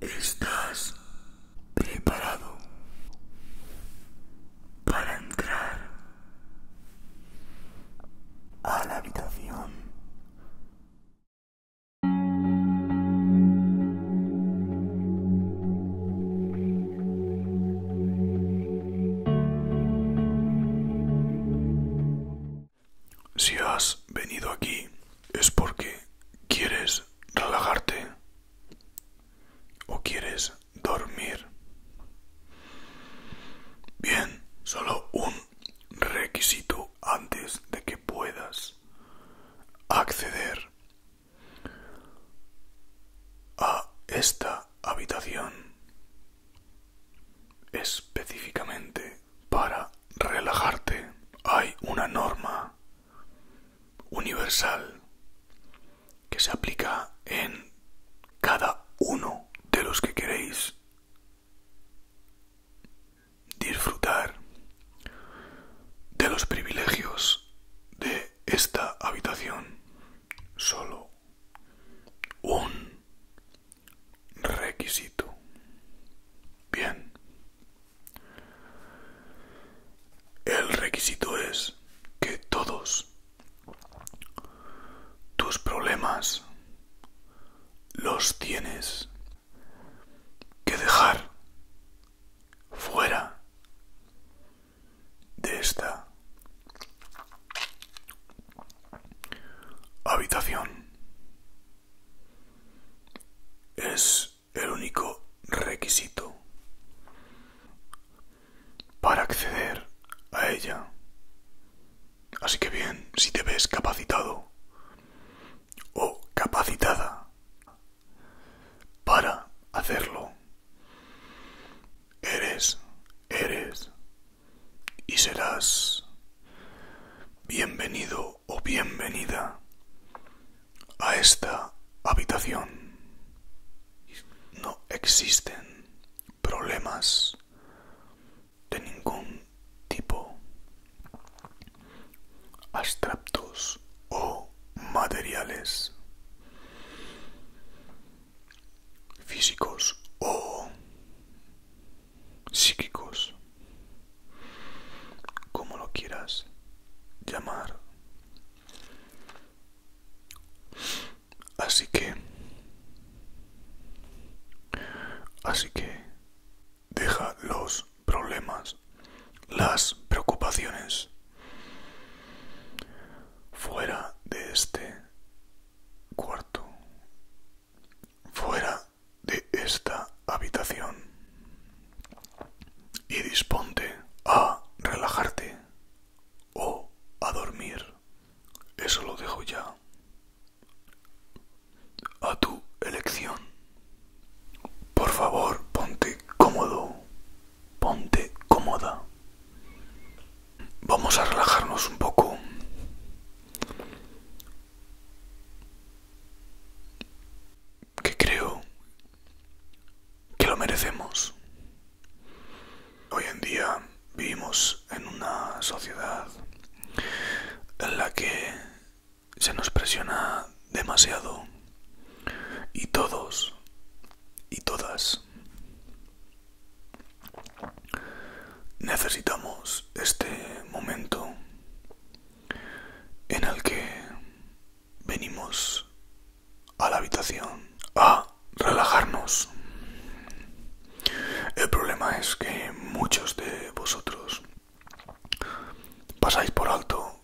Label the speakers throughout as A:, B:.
A: ¿Estás preparado para entrar a la habitación? Si has venido aquí es porque quieres relajarte? ¿O quieres dormir? Bien, solo un requisito antes de que puedas acceder a esta habitación específicamente para relajarte hay una norma universal que se aplica en cada uno de los que queréis disfrutar de los privilegios de esta habitación solo un requisito bien el requisito es que todos tus problemas los tienes que dejar fuera de esta habitación el único requisito para acceder a ella. Así que bien, si te ves capacitado o capacitada para hacerlo, eres, eres y serás bienvenido o bienvenida a esta habitación. No existen problemas de ningún tipo, abstractos o materiales, físicos o psíquicos como lo quieras llamar. Así que, así que, deja los problemas, las preocupaciones fuera de este cuarto, fuera de esta habitación y disponte a relajarte o a dormir. Eso lo dejo ya a tu elección. Por favor, ponte cómodo, ponte cómoda. Vamos a relajarnos un poco que creo que lo merecemos. Hoy en día vivimos en una sociedad en la que se nos presiona demasiado y todos y todas necesitamos este momento en el que venimos a la habitación a relajarnos. El problema es que muchos de vosotros pasáis por alto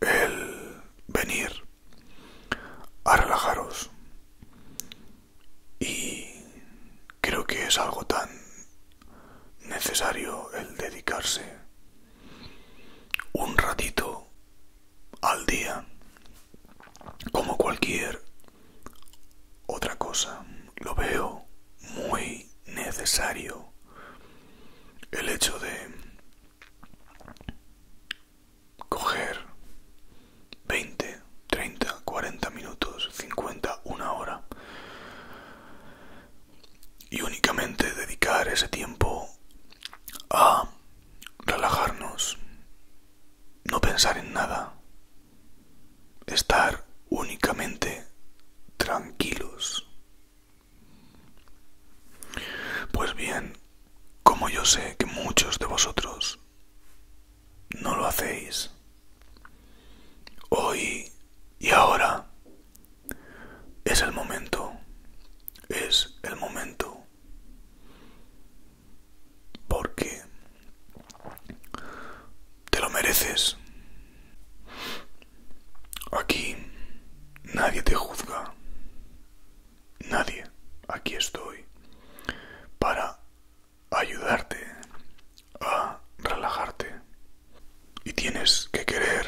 A: el venir a relajaros. Y creo que es algo tan necesario el dedicarse un ratito al día como cualquier otra cosa. Lo veo muy necesario el hecho de coger 20, 30, 40 minutos, 50, una hora y únicamente dedicar ese tiempo a relajarnos, no pensar en nada, estar únicamente tranquilos. Pues bien, como yo sé que muchos de vosotros no lo hacéis, hoy y ahora es el momento. Es el momento. Porque te lo mereces. Aquí nadie te juzga. Nadie. Aquí estoy para ayudarte a relajarte y tienes que querer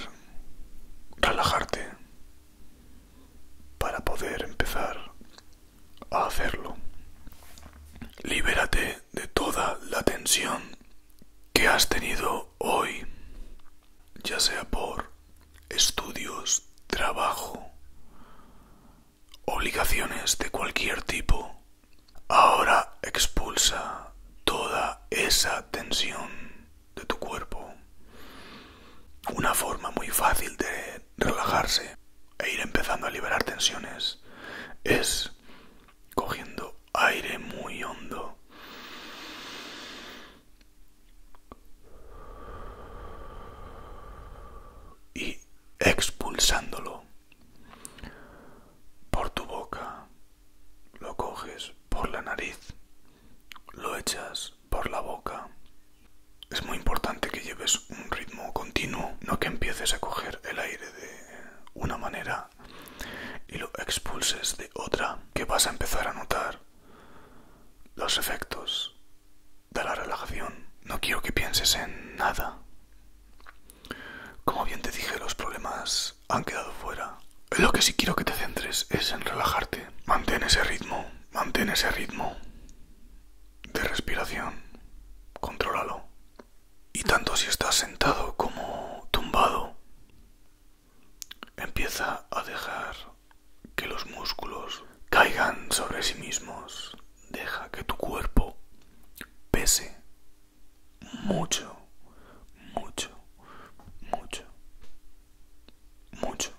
A: relajarte para poder empezar a hacerlo. Libérate de toda la tensión que has tenido hoy, ya sea por estudios, trabajo, obligaciones de cualquier tipo. Ahora expulsa toda esa tensión de tu cuerpo. Una forma muy fácil de relajarse e ir empezando a liberar tensiones es cogiendo aire muy hondo. Y expulsándolo por tu boca lo coges por la nariz, lo echas por la boca. Es muy importante que lleves un ritmo continuo, no que empieces a coger el aire de una manera y lo expulses de otra, que vas a empezar a notar los efectos de la relajación. No quiero que pienses en nada. Como bien te dije, los problemas han quedado fuera. Lo que sí quiero que te centres es en relajarte. Mantén ese ritmo, mantén ese ritmo de respiración. Controlalo. Y tanto si estás sentado como tumbado, empieza a dejar que los músculos caigan sobre sí mismos. Deja que tu cuerpo pese mucho, mucho, mucho. Mucho.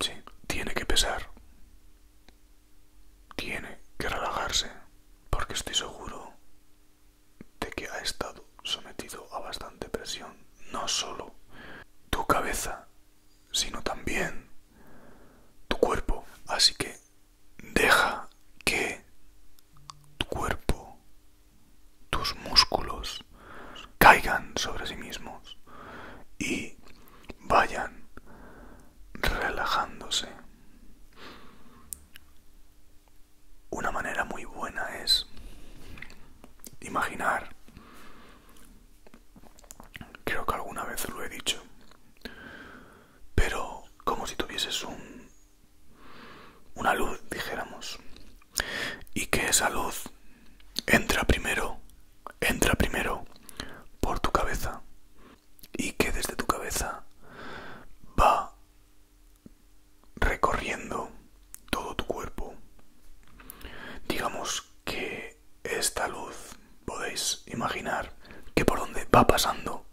A: Sí, tiene que pesar. Tiene que relajarse, porque estoy seguro de que ha estado sometido a bastante presión, no solo tu cabeza, sino también tu cuerpo. Así que deja que tu cuerpo tus músculos caigan sobre sí mismos y vayan relajándose. Una manera muy buena es imaginar, creo que alguna vez lo he dicho, pero como si tuvieses un, una luz, dijéramos, y que esa luz entra primero, entra primero por tu cabeza y que desde tu cabeza va recorriendo todo tu cuerpo. Digamos que esta luz podéis imaginar que por donde va pasando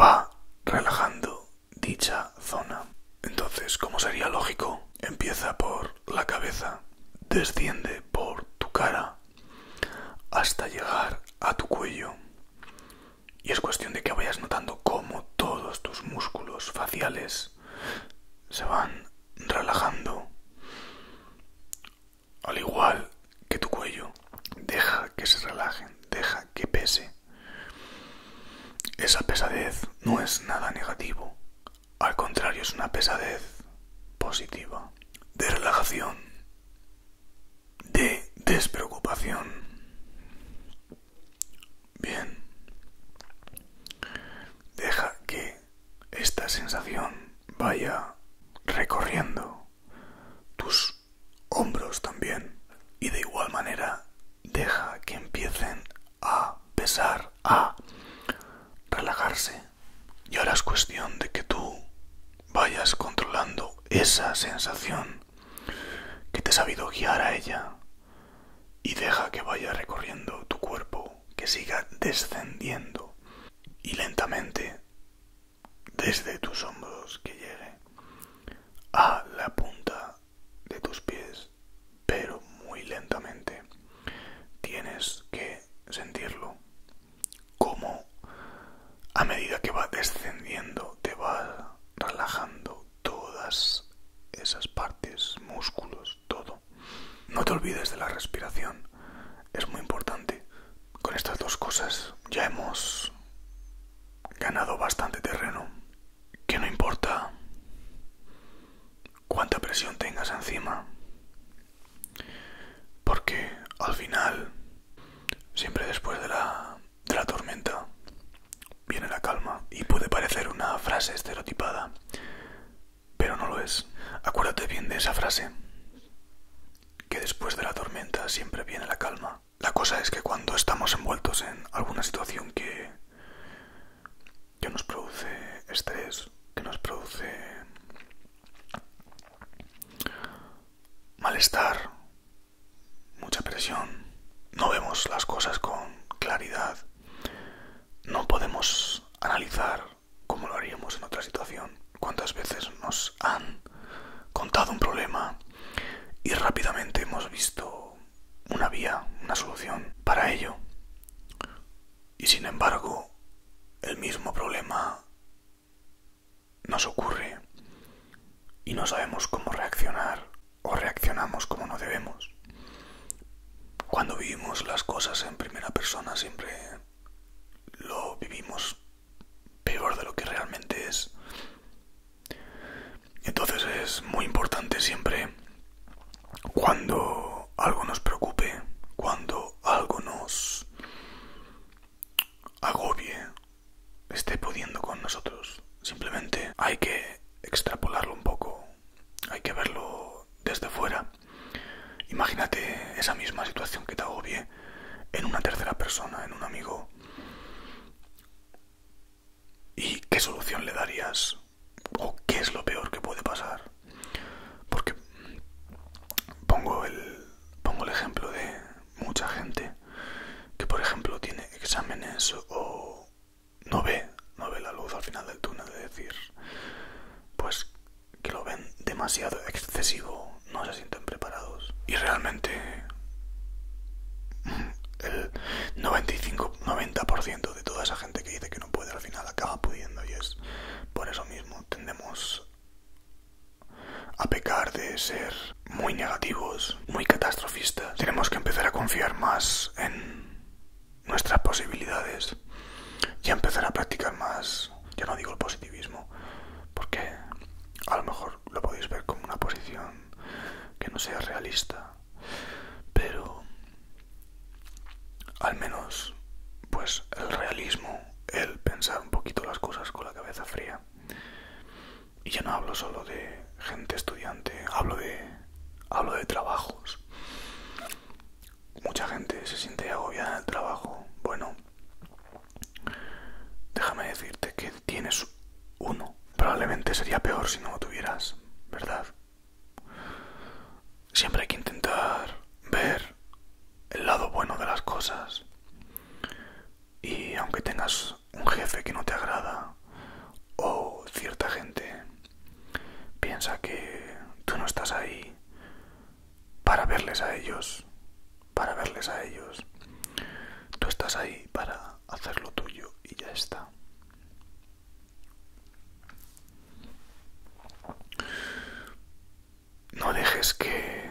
A: va relajando dicha zona. Entonces, ¿cómo sería lógico, Empieza por la cabeza, desciende por tu cara hasta llegar a tu cuello. Y es cuestión de que vayas notando cómo todos tus músculos faciales se van relajando. Al igual que tu cuello, deja que se relajen, deja que pese. Esa pesadez no es nada negativo, al contrario, es una pesadez positiva, de relajación, de despreocupación. Bien. Deja que esta sensación vaya recorriendo tus hombros también y de igual manera deja que empiecen a pesar, a relajarse. Y ahora es cuestión de que tú vayas controlando esa sensación que te ha sabido guiar a ella y deja que vaya recorriendo tu cuerpo, que siga descendiendo y lentamente desde tus hombros que llegue a la punta de tus pies, pero muy lentamente. Tienes que sentirlo. Como a medida que va descendiendo te va relajando todas esas partes, músculos, todo. No te olvides de la respiración. Es muy importante. Con estas dos cosas ya hemos ganado bastante terreno que no importa cuánta presión tengas encima, porque al final, siempre después de la, de la tormenta, viene la calma y puede parecer una frase estereotipada, pero no lo es. Acuérdate bien de esa frase, que después de la tormenta siempre viene la calma. La cosa es que cuando estamos envueltos en alguna situación que que nos produce estrés, que nos produce malestar, mucha presión, no vemos las cosas con claridad, no podemos analizar como lo haríamos en otra situación, cuántas veces nos han contado un problema y rápidamente hemos visto una vía, una solución para ello. Y sin embargo, el mismo problema nos ocurre y no sabemos cómo reaccionar o reaccionamos como no debemos. Cuando vivimos las cosas en primera persona siempre lo vivimos peor de lo que realmente es. Entonces es muy importante siempre cuando algo nos preocupe, cuando algo nos agobie, esté pudiendo con nosotros. Simplemente hay que extrapolarlo un poco, hay que verlo desde fuera. Imagínate esa misma situación que te agobie en una tercera persona, en un amigo. ¿Y qué solución le darías? o qué es lo peor que puede pasar porque pongo el pongo el ejemplo de mucha gente que por ejemplo tiene exámenes o no ve no ve la luz al final del túnel de decir pues que lo ven demasiado excesivo no se sienten preparados y realmente el 95 90% de toda esa gente que dice que no puede al final acaba pudiendo y es por eso mismo tendemos a pecar de ser muy negativos, muy catastrofistas. Tenemos que empezar a confiar más en nuestras posibilidades y empezar a practicar más, ya no digo el positivismo, porque a lo mejor lo podéis ver como una posición que no sea realista pero al menos pues el realismo el pensar un poquito las cosas con la cabeza fría y yo no hablo solo de gente estudiante hablo de hablo de trabajos mucha gente se siente agobiada en el trabajo bueno déjame decirte que tienes uno probablemente sería peor si no lo tuvieras verdad siempre hay que intentar ver el lado bueno de las cosas. Y aunque tengas un jefe que no te agrada o cierta gente, piensa que tú no estás ahí para verles a ellos, para verles a ellos. Tú estás ahí para hacer lo tuyo y ya está. No dejes que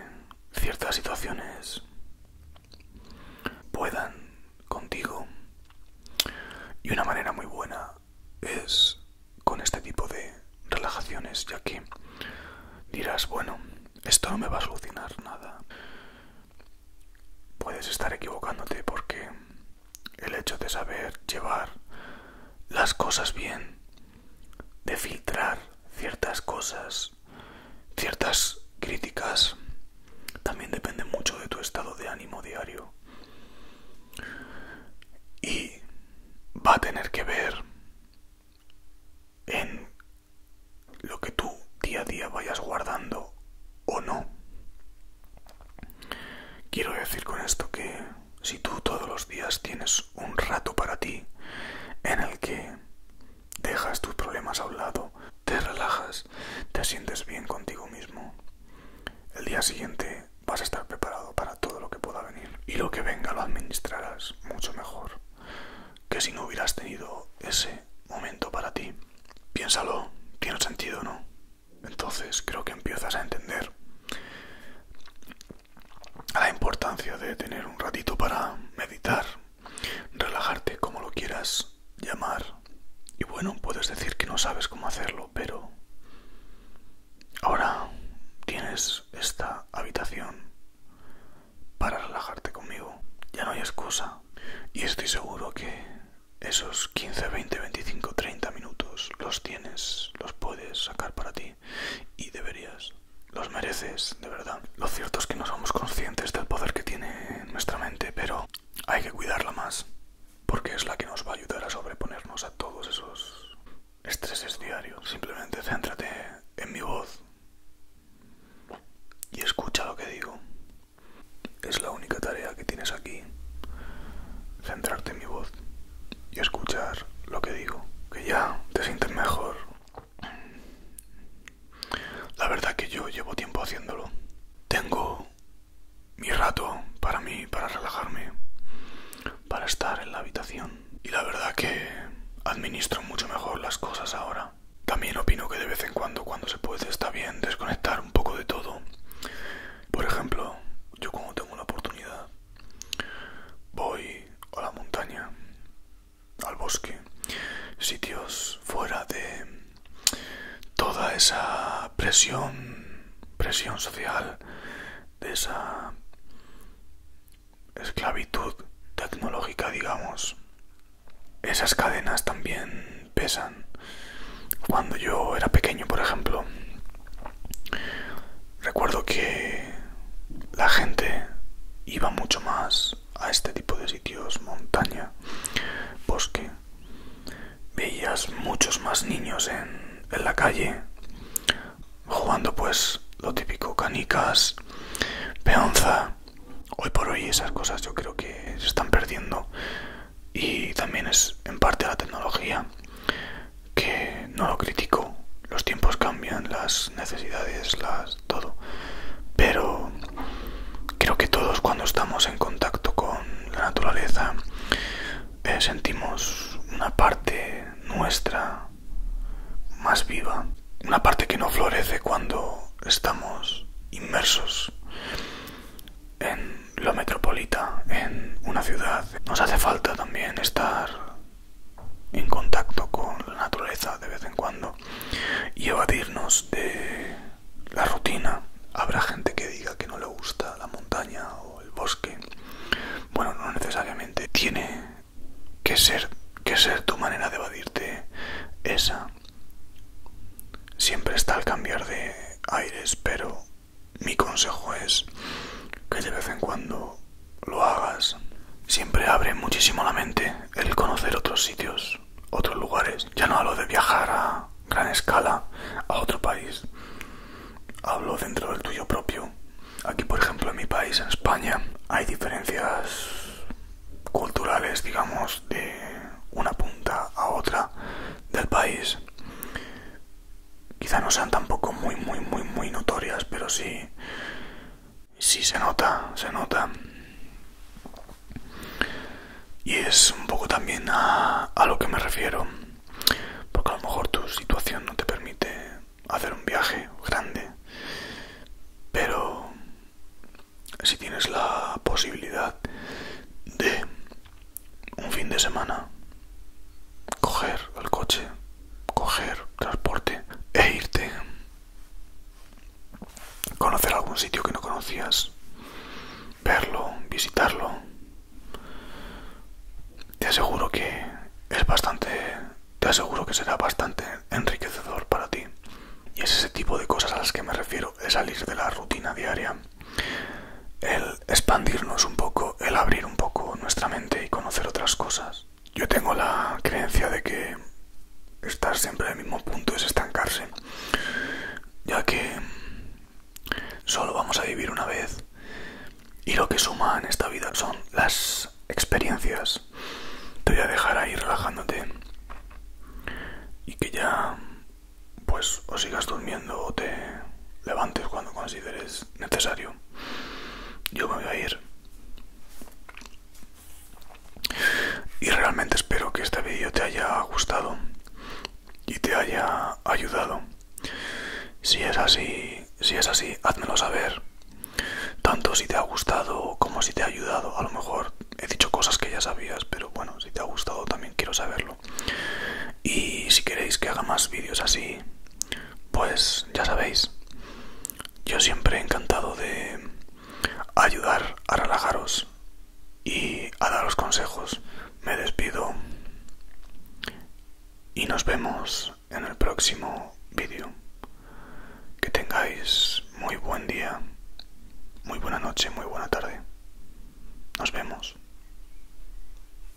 A: ciertas situaciones puedan contigo. Y una manera muy buena es con este tipo de relajaciones, ya que dirás, bueno, esto no me va a solucionar nada. Puedes estar equivocándote porque el hecho de saber llevar las cosas bien, de filtrar ciertas cosas, ciertas críticas, también depende mucho de tu estado de ánimo diario. Y va a tener que ver en lo que tú día a día vayas guardando o no. Quiero decir con esto que si tú todos los días tienes un rato para ti en el que dejas tus problemas a un lado, te relajas, te sientes bien contigo mismo, el día siguiente vas a estar preparado para todo lo que pueda venir y lo que venga lo administrarás mucho mejor que si no hubieras tenido ese momento para ti. Piénsalo, tiene sentido, ¿no? Entonces creo que empiezas a entender la importancia de tener un ratito para meditar, relajarte como lo quieras llamar. Y bueno, puedes decir que no sabes cómo hacerlo, pero ahora tienes esta habitación para relajarte conmigo. Ya no hay excusa. Y estoy seguro que esos 15, 20, 25, 30 minutos los tienes, los puedes sacar para ti y deberías. Los mereces, de verdad. Lo cierto es que no somos conscientes del poder que tiene nuestra mente, pero hay que cuidarla más, porque es la que nos va a ayudar a sobreponernos a todos esos estreses diarios. Simplemente céntrate en mi voz y escucha lo que digo. Es la única tarea que tienes aquí centrarte en mi voz y escuchar lo que digo, que ya te sientes mejor. La verdad que yo llevo tiempo haciéndolo. Tengo mi rato para mí, para relajarme, para estar en la habitación. Y la verdad que administro mucho mejor las cosas ahora. También opino que de vez en cuando, cuando se puede, está bien desconectar un poco de todo por ejemplo, yo cuando tengo una oportunidad voy a la montaña, al bosque, sitios fuera de toda esa presión, presión social, de esa esclavitud tecnológica, digamos. Esas cadenas también pesan. Cuando yo era pequeño, por ejemplo, Recuerdo que la gente iba mucho más a este tipo de sitios, montaña, bosque. Veías muchos más niños en, la calle, jugando pues lo típico, canicas, peonza. Hoy por hoy esas cosas yo creo que se están perdiendo y también es en parte la tecnología que no lo critico los tiempos cambian las necesidades las todo pero creo que todos cuando estamos en contacto con la naturaleza eh, sentimos una parte nuestra más viva una parte que no florece cuando estamos inmersos en lo metropolita, en una ciudad, nos hace falta también estar en contacto con la naturaleza de vez en cuando y evadirnos de la rutina. Habrá gente que diga que no le gusta la montaña o el bosque. Bueno, no necesariamente. Tiene que ser, que ser tu manera de evadirte esa. Siempre está el cambiar de aires, pero mi consejo es que de vez en cuando lo hagas. Siempre abre muchísimo la mente el conocer otros sitios, otros lugares. Ya no hablo de viajar a gran escala a otro país. Hablo dentro del tuyo propio. Aquí, por ejemplo, en mi país, en España, hay diferencias culturales, digamos, de una punta a otra del país quizá no sean tampoco muy, muy, muy, muy notorias, pero sí, sí se nota, se nota. Y es un poco también a, a lo que me refiero, porque a lo mejor tu situación no te permite hacer un viaje grande, pero si tienes la posibilidad de un fin de semana, coger el coche, coger transporte e irte, conocer algún sitio que no conocías, verlo, visitarlo. Te aseguro que es bastante, te aseguro que será bastante enriquecedor para ti. Y es ese tipo de cosas a las que me refiero, es salir de la rutina diaria el expandirnos un poco, el abrir un poco nuestra mente y conocer otras cosas. Yo tengo la creencia de que estar siempre en el mismo punto es estancarse, ya que solo vamos a vivir una vez y lo que suma en esta vida son las experiencias. Te voy a dejar ahí relajándote y que ya pues o sigas durmiendo o te levantes cuando consideres necesario. Yo me voy a ir. Y realmente espero que este vídeo te haya gustado y te haya ayudado. Si es así, si es así, házmelo saber. Tanto si te ha gustado como si te ha ayudado. A lo mejor he dicho cosas que ya sabías, pero bueno, si te ha gustado también quiero saberlo. Y si queréis que haga más vídeos así, pues ya sabéis, yo siempre he encantado de ayudar a relajaros y a daros consejos. Me despido y nos vemos en el próximo vídeo. Que tengáis muy buen día, muy buena noche, muy buena tarde. Nos vemos.